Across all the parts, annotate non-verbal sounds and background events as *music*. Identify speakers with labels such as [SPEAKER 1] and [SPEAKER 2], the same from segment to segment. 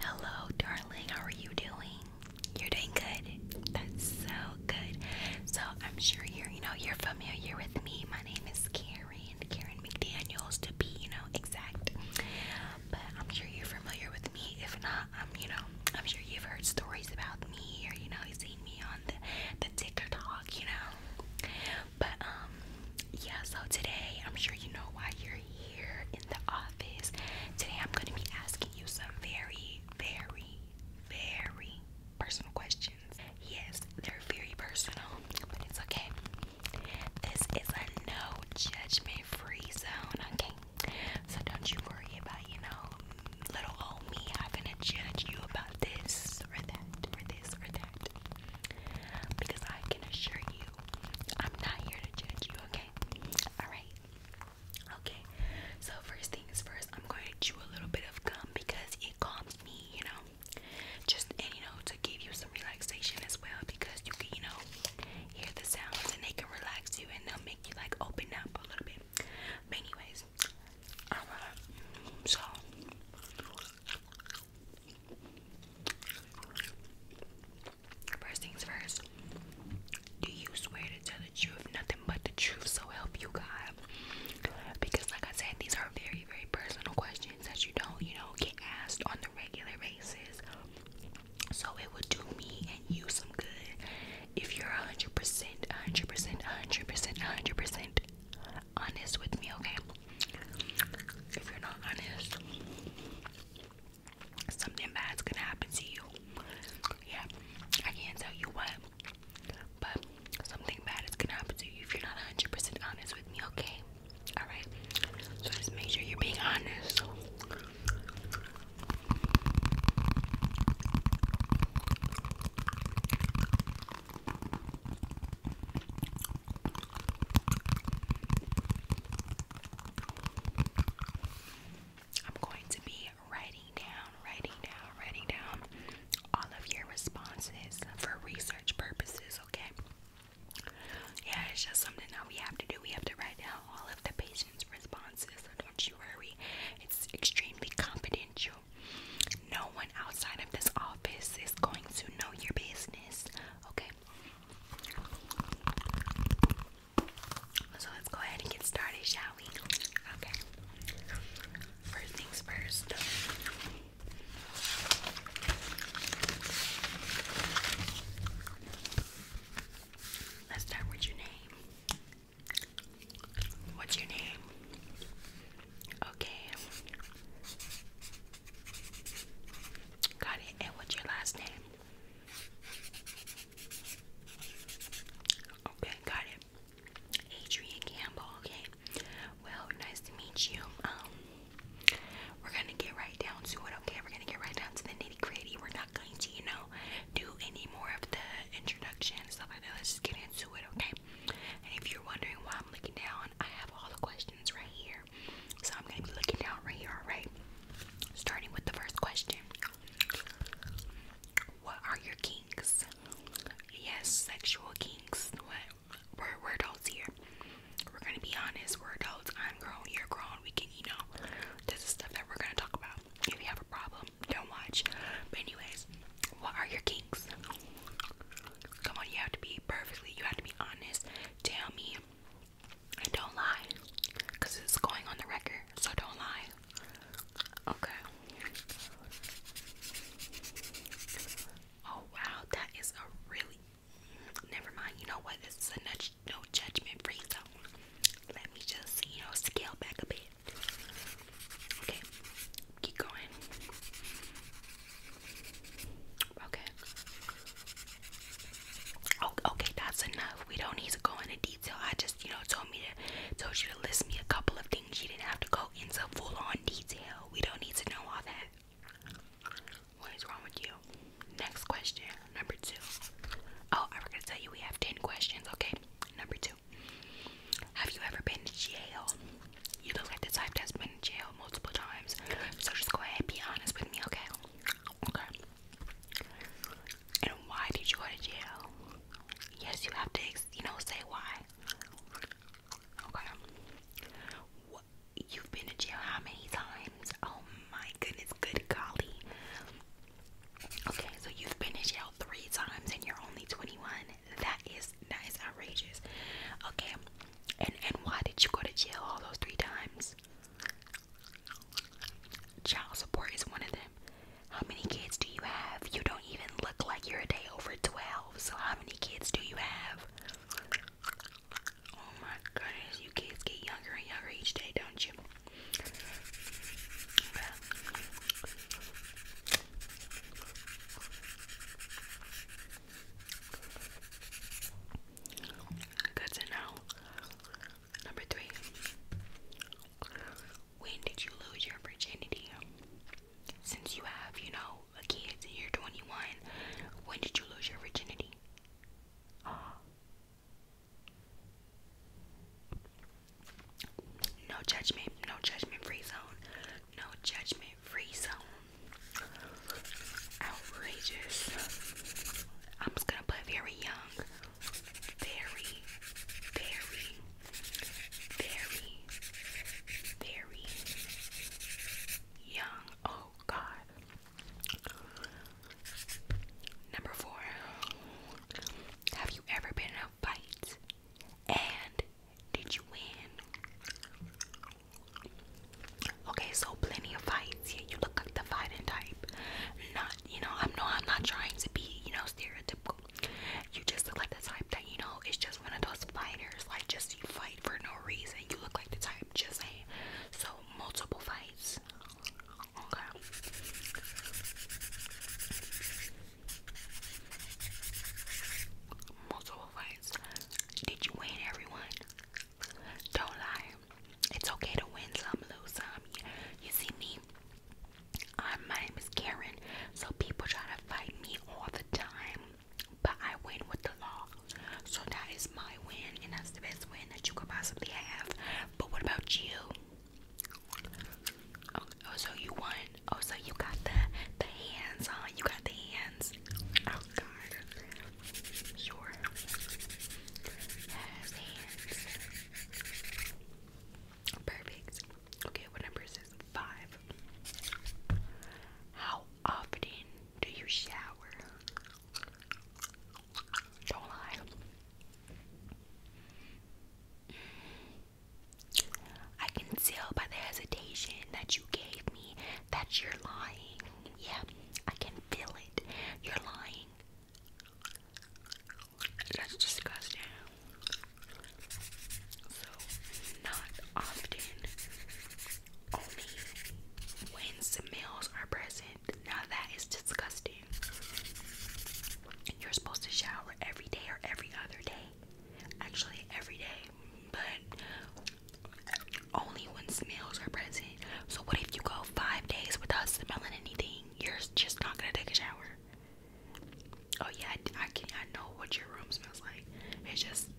[SPEAKER 1] Hello, darling. How are you doing? You're doing good. That's so good. So, I'm sure you're, you know, you're familiar with me. My name is Karen, Karen McDaniels to be, you know, exact. But I'm sure you're familiar with me. If not, I'm, you know, I'm sure you've heard stories about me or, you know, you've seen me on the, the TikTok, you know. But, um, yeah, so today I'm sure you know why you're here in the office. Today I'm going to be asking you some very, very, very personal questions. Yes, they're very personal, but it's okay. This is a no judgment free zone, okay? So don't you worry about, you know, little old me I'm going to judge you about this or that or this or that. Because I can assure you, I'm not here to judge you, okay? Alright. Okay. So first things first, I'm going to chew a little bit of gum because it calms me, you know. Just and you know, to give you some relaxation as well because you can, you know, hear the sounds and they can relax you and they'll make you like open up a little bit. But anyways, So First things first, do you swear to tell the truth, nothing but the truth, so help you God? Because, like I said, these are very, very personal questions that you don't, you know, get asked on the regular basis. So it would do me and you some good if you're 100%, 100%, 100%, 100% honest with me, okay? If you're not honest, something bad's gonna happen to you. Yeah, I can't tell you what, but something bad is gonna happen to you if you're not 100% honest with me, okay? Alright, so just make sure you're being honest. I'm going to be writing down, writing down, writing down all of your responses for research purposes, okay? Yeah, it's just something that we have to do. We have to write down all of the patient's responses, so don't you worry. It's extremely confidential. No one outside of this office is going to know your business, okay? So let's go ahead and get started, shall we? Okay. First things first. Let's start with your name. What's your name? Okay. Got it. And what's your last name? Okay, got it. Adrian Campbell. Okay. Well, nice to meet you. Um, we're gonna get right down to it. Okay, we're gonna get right down to the nitty gritty. We're not going to, you know, do any more of the introduction stuff like that. Let's just get into it. Okay. And if you're wondering why I'm looking down, I have all the questions right here. So I'm going to be looking down right here, alright? Starting with the first question What are your kinks? Yes, sexual kinks. What? We're, we're adults here. We're going to be honest. We're adults. I'm grown. You're grown. We can, you know, this is stuff that we're going to talk about. If you have a problem, don't watch. anyways, what are your kinks? Come on, you have to be perfectly, you have to be honest. Tell me and don't lie, because it's going on the record, so don't lie. Okay. Oh wow, that is a really. Never mind. You know what? This is a no judgment free zone. Let me just, you know, scale back a bit. Okay, keep going. Okay. okay, that's enough. We don't need to go into detail. I just, you know, told me to told you to list me a couple of things. You didn't have to go into full on detail. We don't need to know all that. What is wrong with you? Next question, number two. Oh, I was gonna tell you we have ten questions. Okay, number two. Have you ever been to jail? You look like the type that's been in jail multiple times. So just go ahead and be honest with me, okay? Okay. And why did you go to jail? Yes, you have to, you know, say why. Okay. You've been to jail how many times? Oh my goodness, good golly. Okay, so you've been in jail three times and you're only 21. That is that is outrageous. Okay, and and why did you go to jail all those three times? Child support is one of them. How many kids do you have? You don't even look like you're a day over 12. So how many kids do you have? Oh my goodness, you kids get younger and younger each day, don't you? Well, Good to know. Number three. When did you lose your virginity? Since you have, you know, a kid and you're 21, when did you lose your virginity? *gasps* No judgment, no judgment free zone, no judgment free zone. Outrageous. I'm just gonna put very young. Very, very, very, very young. Oh god. Number four. Have you ever been in a fight? And did you win? Okay, so plenty of fights. Yeah, you look like the fighting type. Not, you know, I'm no, I'm not trying to be, you know, stereotypical. You just look like the type that, you know, it's just one of those fighters. Like, just you fight for no reason. You look like the type, just saying. So, multiple fights. Okay. Multiple fights. Did you win everyone? Don't lie. It's okay to win some, lose some. You see me? I'm um, my name is Karen, so people try to fight me all the time, but I win with the law. So that is my win, and that's the best win that you could possibly have. But what about you? Oh, oh so you won. Oh, so you got the the hands, huh? You got the hands. Oh God your Perfect. Okay, what number is Five. How often do you shower? Don't lie. I can tell by the hesitation that you gave me that you're lying. Yeah, I can feel it. You're lying. That's disgusting. So, not often, only when smells are present. Now, that is disgusting. You're supposed to shower every day or every other day. Actually, every day. But only when smells are present. So what if you go five days without smelling anything? You're just not gonna take a shower. Oh yeah, I, can. I know what your room smells like. It's just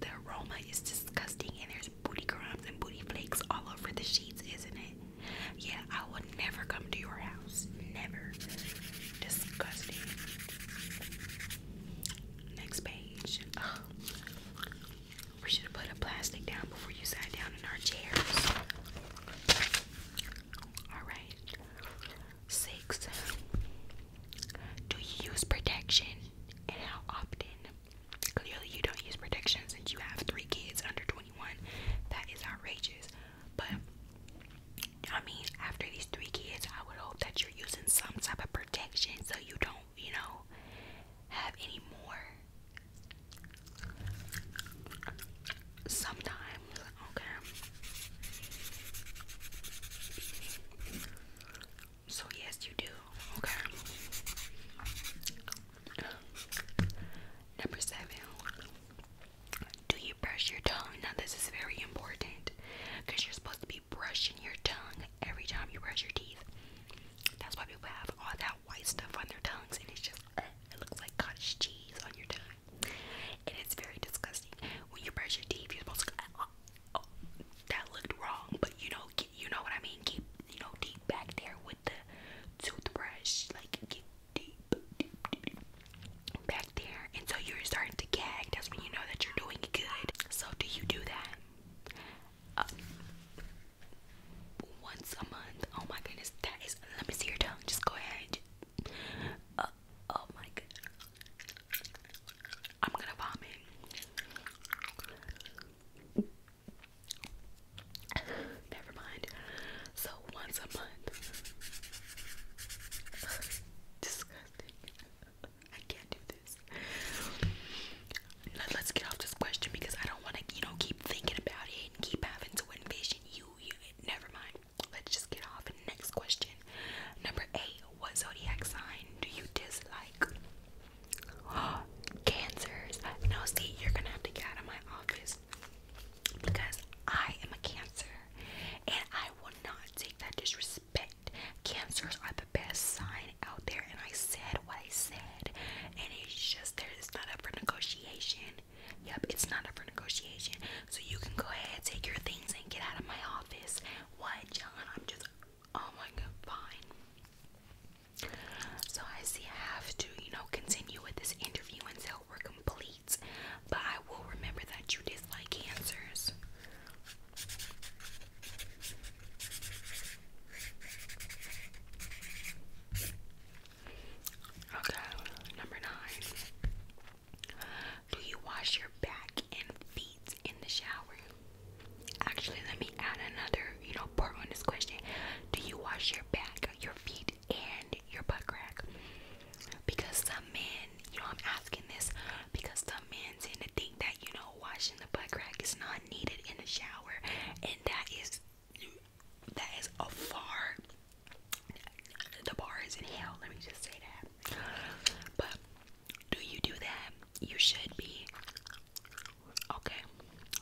[SPEAKER 1] the aroma is disgusting, and there's booty crumbs and booty flakes all over the sheets, isn't it? Yeah, I would never come to your house. Never. Disgusting. Next page. We should have put a plastic down before you sat down in our chairs. Alright. Six. Do you use protection and how often? Clearly, you don't use protection since you have three kids under 21. That is outrageous. But I mean, after these three kids, I would hope that you're you using some type of protection so you don't, you know, have any more. Sometimes, okay. So, yes, you do, okay. Number seven, do you brush your tongue? Now, this is very important because you're supposed to be brushing your tongue every time you brush your teeth. That's why people have all that white stuff on their tongues, and it's just uh, it looks like cottage cheese on your tongue, and it's very disgusting. When you brush your teeth, you're supposed to. Uh, uh oh, that looked wrong, but you know, you know what I mean. Keep you know deep back there with the toothbrush, like get deep, deep, deep back there and so you're starting to gag. That's when you know that you're doing good. So, do you do that? Uh, once a month. Oh my goodness, that is. Let me see your tongue. Just go ahead. Uh, oh my god. I'm gonna vomit. Never mind. So once a month. *laughs* Disgusting. I can't do this. Let, us get off this question because I don't want to, you know, keep thinking about it and keep having to envision you. never mind. Let's just get off. Next question. Number eight. What zodiac sign do you dislike? *gasps* Cancers. Now, see, you're gonna have to get out of my office because I am a Cancer and I will not take that disrespect Cancers are the best sign out there, and I said what I said, and it's just there. It's not up for negotiation. Yep, it's not up for negotiation. So you can go ahead, take your things, and get out of my office. What, John? I'm just. Oh my god, fine. So I see I have to, you know, continue with this interview until we're complete. But I will remember that you dislike cancers. Okay, number nine. Do you wash your back and feet in the shower? Actually, let me add another, you know, part on this question. Do you wash your back, your feet, and your butt crack? Because some men, you know, I'm asking this because some men tend to think that you know washing the butt crack is not needed in the shower, and that is that is a far the bar is in hell. Let me just say that. But do you do that? You should be. Okay,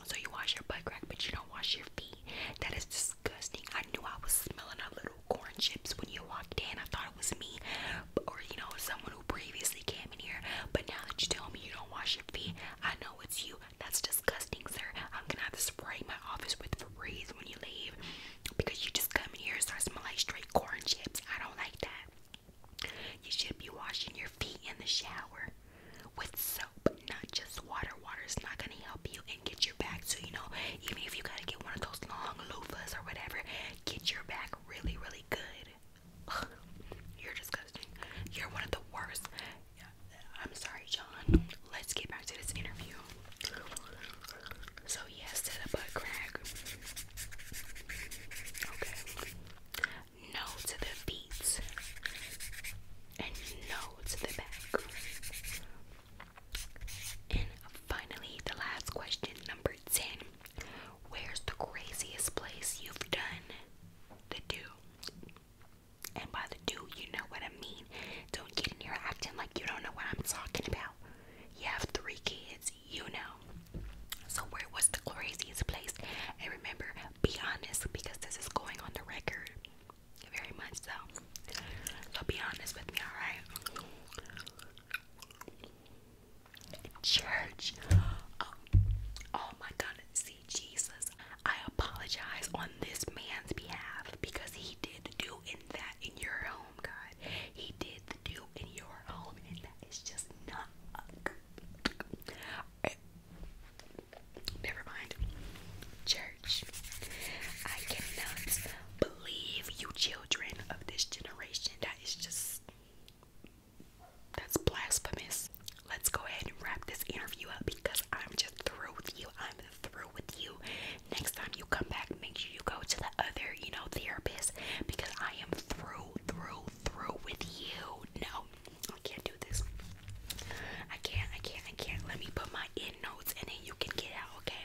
[SPEAKER 1] so you wash your butt crack, but you don't wash your feet. That is disgusting. I knew I was smelling a little corn chips when you walked in. I thought it was me, or you know, someone who previously came in here. But now that you tell me you don't wash your feet, I know it's you. That's disgusting, sir. I'm gonna have to spray my office with Febreze when you leave because you just come in here and start smelling like straight corn chips. I don't like that. You should be washing your feet in the shower with soap, not just water. Water is not gonna help you and get your back. So you know, even if you gotta get one of those long loofahs or whatever, get your back really, really good. You're disgusting. You're one of the worst. I'm sorry, John. Let's get back to this interview. So, yes to the butt crack. Okay. No to the feet. And no to the back. And finally, the last question, number 10. Where's the craziest place you've done the do? And by the do, you know what I mean. Don't get in here acting like you don't know what I'm talking about. You have three kids, you know. So, where was the craziest place? And remember, be honest because this is going on the record. Very much so. So, be honest with me, alright? Church. Oh, oh my God. See, Jesus, I apologize on this man's behalf because he did do in that in your home, God. He did do in your home, and that is just not. Never mind. Church, I cannot believe you of this generation. That is just that's blasphemous. Let's go ahead and wrap this interview up because I'm just through with you. I'm through with you. Next time you come back, make sure you go to the other, you know, therapist because I am through, through, through with you. No, I can't do this. I can't, I can't, I can't. Let me put my end notes and then you can get out, okay?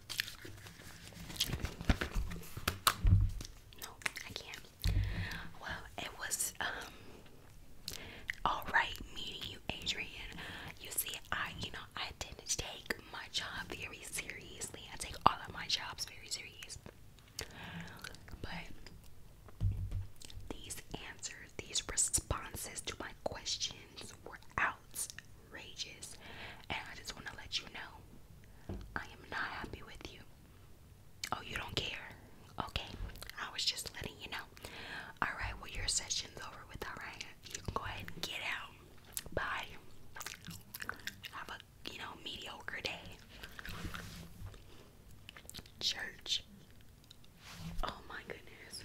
[SPEAKER 1] No, I can't. Well, it was um, alright meeting you, Adrian. You see, I you know I didn't take my job very seriously. I take all of my jobs very serious. But these answers, these responses to my questions were out outrageous. And I just want to let you know I am not happy with you. Oh, you don't care? Okay, I was just letting you know. Alright, well, your session's over with, alright? You can go ahead and get out. Bye. Have a, you know, mediocre day. Church. Oh my goodness.